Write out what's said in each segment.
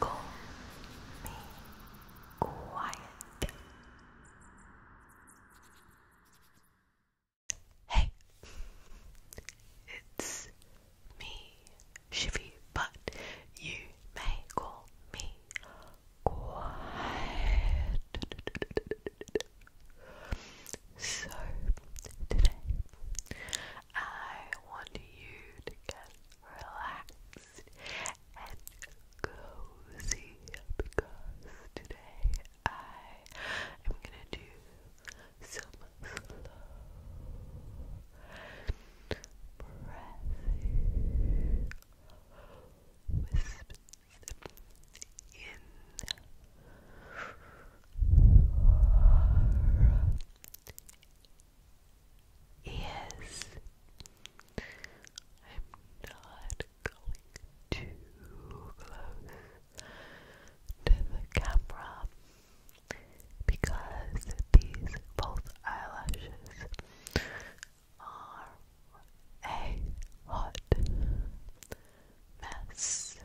Go be quiet. Hey, it's me, Shivy, but you may call me quiet. So, today I want you to get relaxed and cozy because today I am gonna do some slow breathing in Yes, I'm not going too close to the camera because these false eyelashes are a hot mess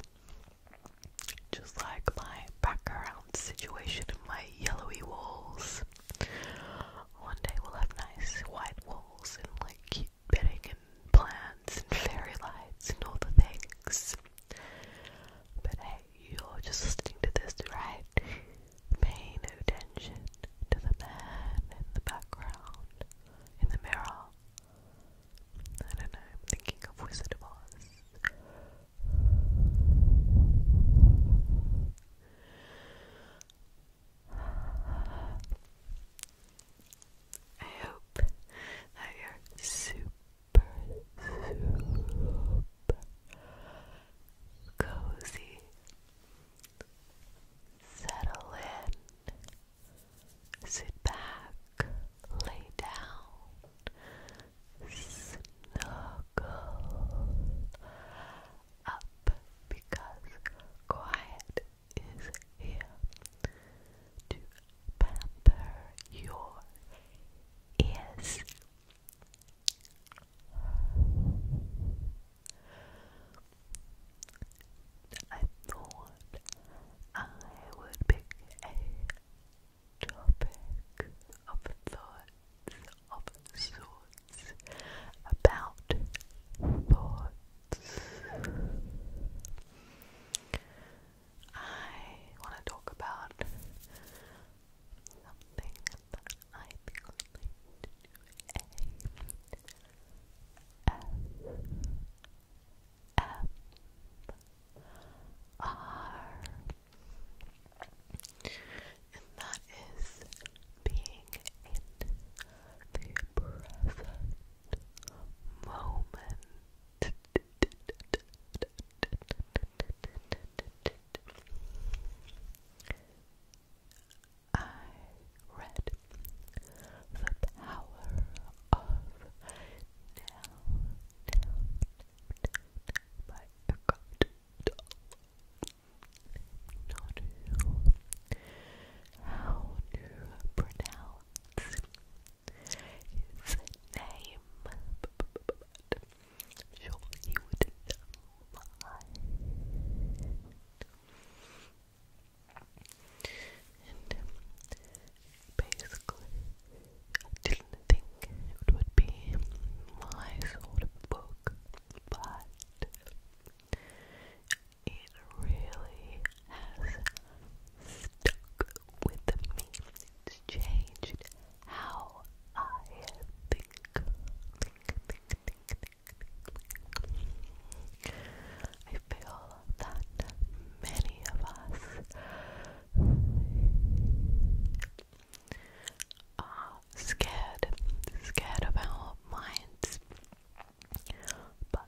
just like my background situation and my yellowy walls. One day we'll have nice white walls and like cute bedding and plants and fairy lights and all the things. But hey, you're just listening to this, right? Pay no attention to the man in the background, in the mirror, I don't know, I'm thinking of Wizard of Oz. I hope that you're super, cozy. Settle Sit back, lay down, snuggle up because quiet is here to pamper your ears. I thought I would pick a topic of thoughts of sorts about thoughts. I want to talk about something that I think I R. And that is being in the present moment. I read The Power off now, now, now, now my not know how to pronounce his name but i would know mine and basically I didn't think it would be my sort of book, but it really has stuck with me. It's changed how I think. I feel that many of us are uh, scared, scared of our minds. But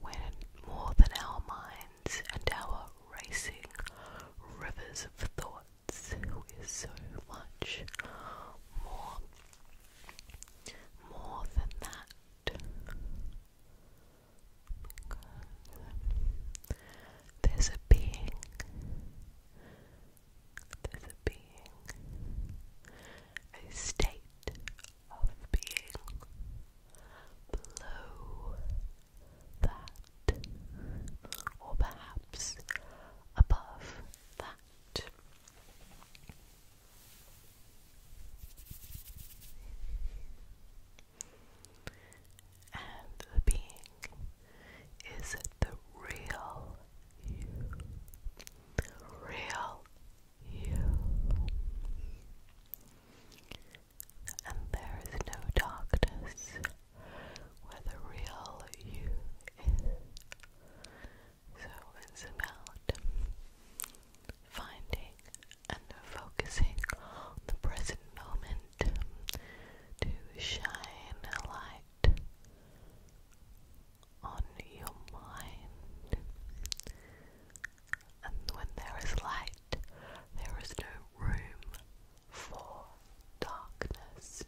when more than our minds and our racing rivers of thoughts, we're so much more, more than that there's a being, there's a being, a state of being below that, or perhaps above that. And the being is the real you. The real you. And there is no darkness where the real you is. So it's finding and focusing on the present moment to shine a light on your mind. And when there is light, there is no room for darkness,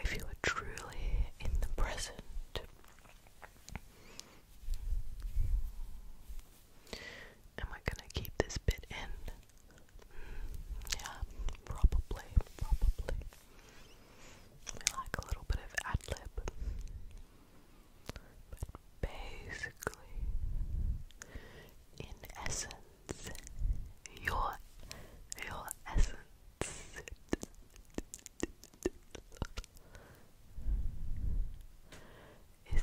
if you are truly in the present. Am I gonna keep this bit in? Mm, yeah, probably, probably. We like a little bit of ad lib. But basically, in essence, your your essence is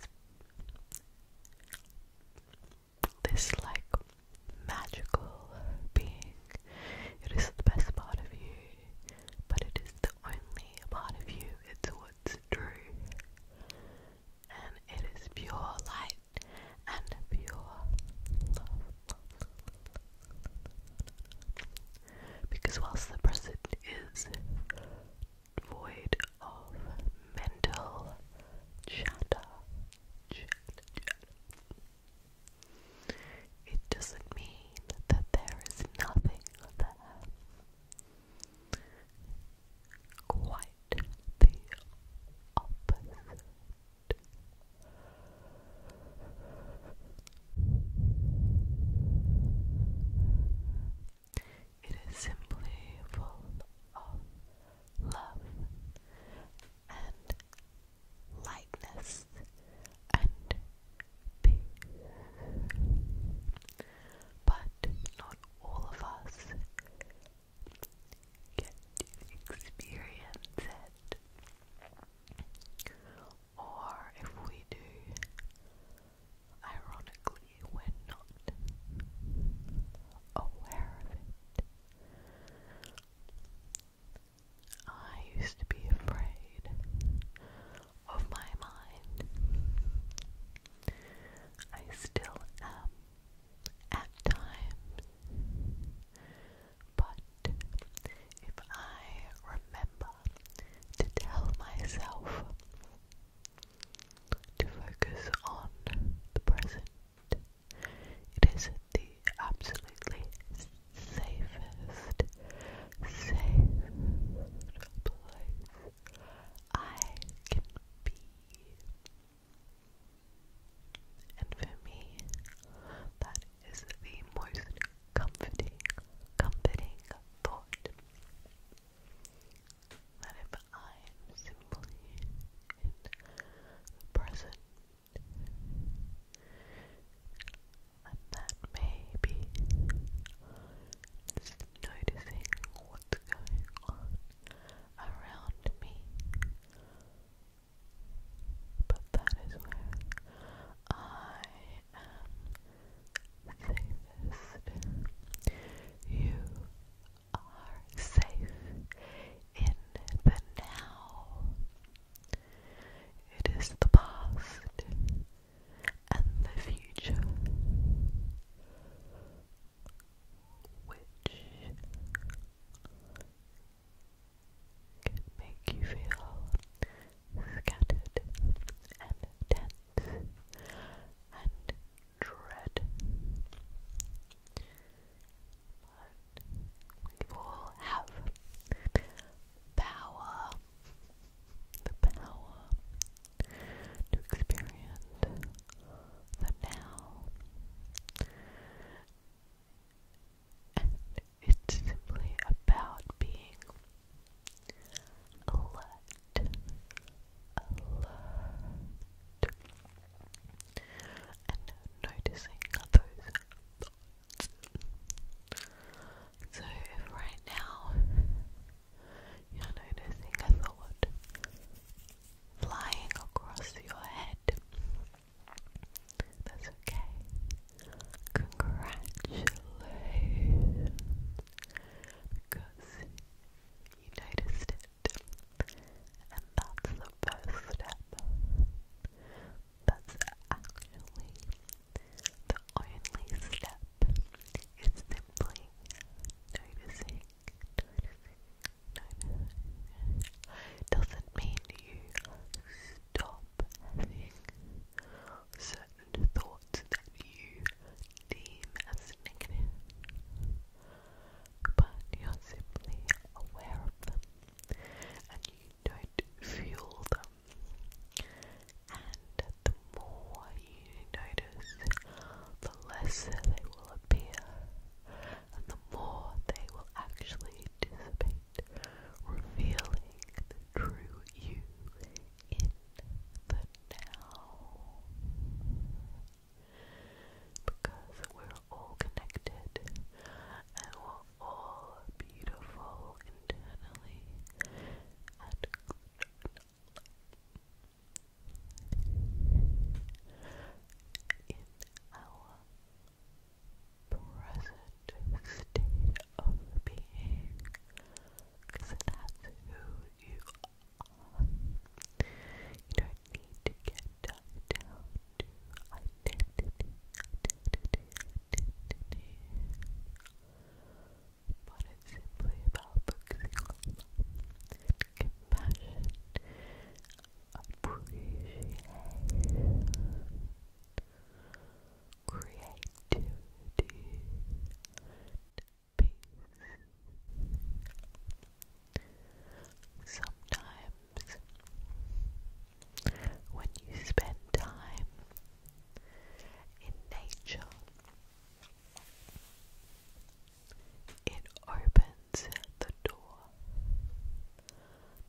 this like magical being. It is the best part of you, but it is the only part of you. It's what's true. And it is pure light and pure love. Because whilst the present is void of mental chatter, it doesn't mean that there is nothing there. Quite the opposite. It is simply full of love and lightness and peace. But not all of us get to experience it, or if we do, ironically, we're not aware of it. I used to be afraid of my mind. I still am at times. But if I remember to tell myself to focus on the present, it is the absolutely safest, safe place I can be. And for me, that is the most comforting, comforting thought that if I am simply in the present, and that maybe noticing what's going on around me but that is where I am safest. You are safe in the now. It is the past and the future which can make you feel scattered and tense and dread. But we all have power, the power to experience the now it's simply about being alert, alert, and noticing those So, if right now you're noticing a thought flying across your head, that's okay. Congratulations. Because you noticed it. And that's the first step. That's actually the only step. It's simply noticing no, doesn't mean you stop having certain thoughts that you deem as negative, but you're simply aware of them and you don't fuel them. And the more you notice, the less they will appear and the more they will actually dissipate, revealing the true you in the now. Because we're all connected and we're all beautiful internally and in our present state of being that's who you are. You don't need to get down But it's simply about compassion appreciation, creativity, peace. Sometimes, when you spend time in nature, it opens the door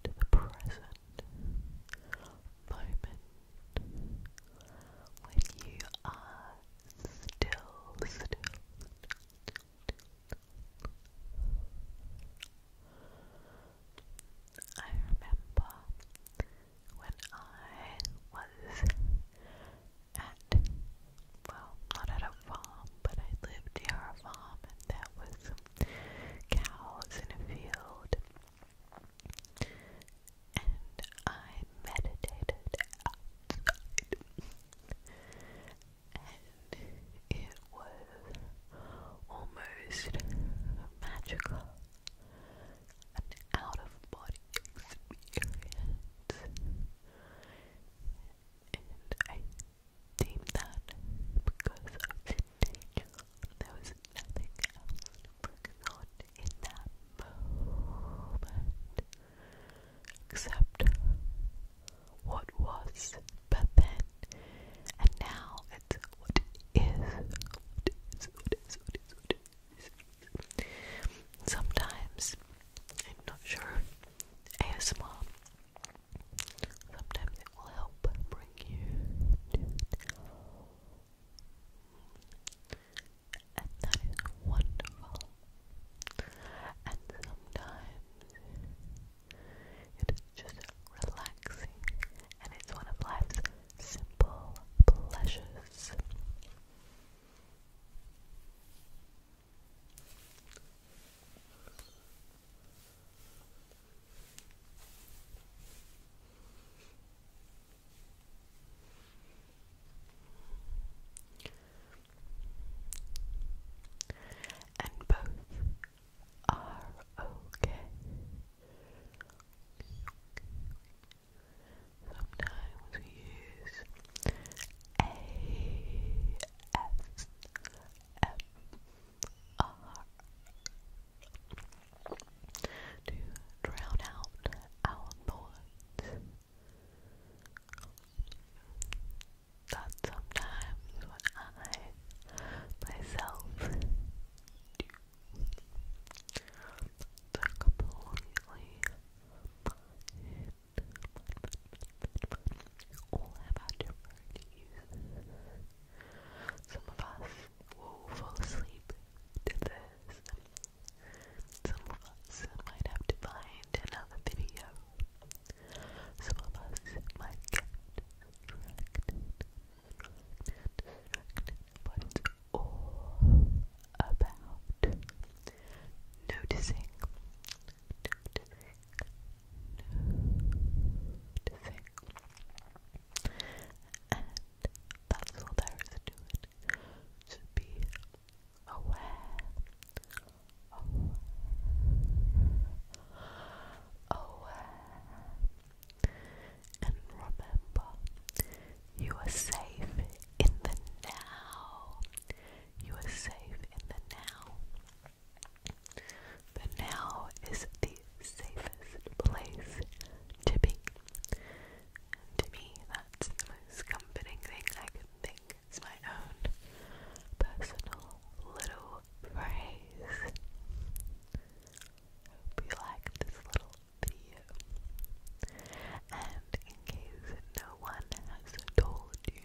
to the present moment when you are still, still. I remember when I was at well, not at a farm, but I lived near a farm and there was some cows in a field. And I meditated outside. and it was almost magical. An out of body experience. And I deem that because there was nothing else going on in that moment except what was but then and now it's what is what is what is what is, what is. sometimes I'm not sure ASMR Sometimes it will help bring you and that is wonderful. And sometimes it is just relaxing, and it's one of life's simple pleasures. And both are okay. Sometimes we use ASMR to drown out our thoughts that sometimes when I myself do completely all have our different uses. Some of us will fall asleep to this. Some of us might have to find another video. Some of us might get distracted, about noticing and that's all there is to it. To be aware, aware, and remember you are safe in the now. You are safe in the now. But now is the safest place to be. to me, that's the most comforting thing I can think. It's my own personal little phrase. Hope you liked this little video. And in case no one has told you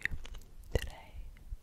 today,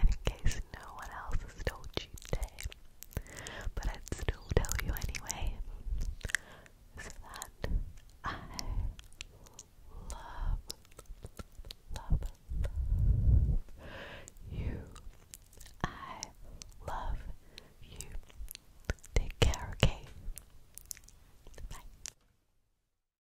in case no one else told you today, but I'd still tell you anyway, is that I love, love, love you. I love you. Take care, okay? Bye.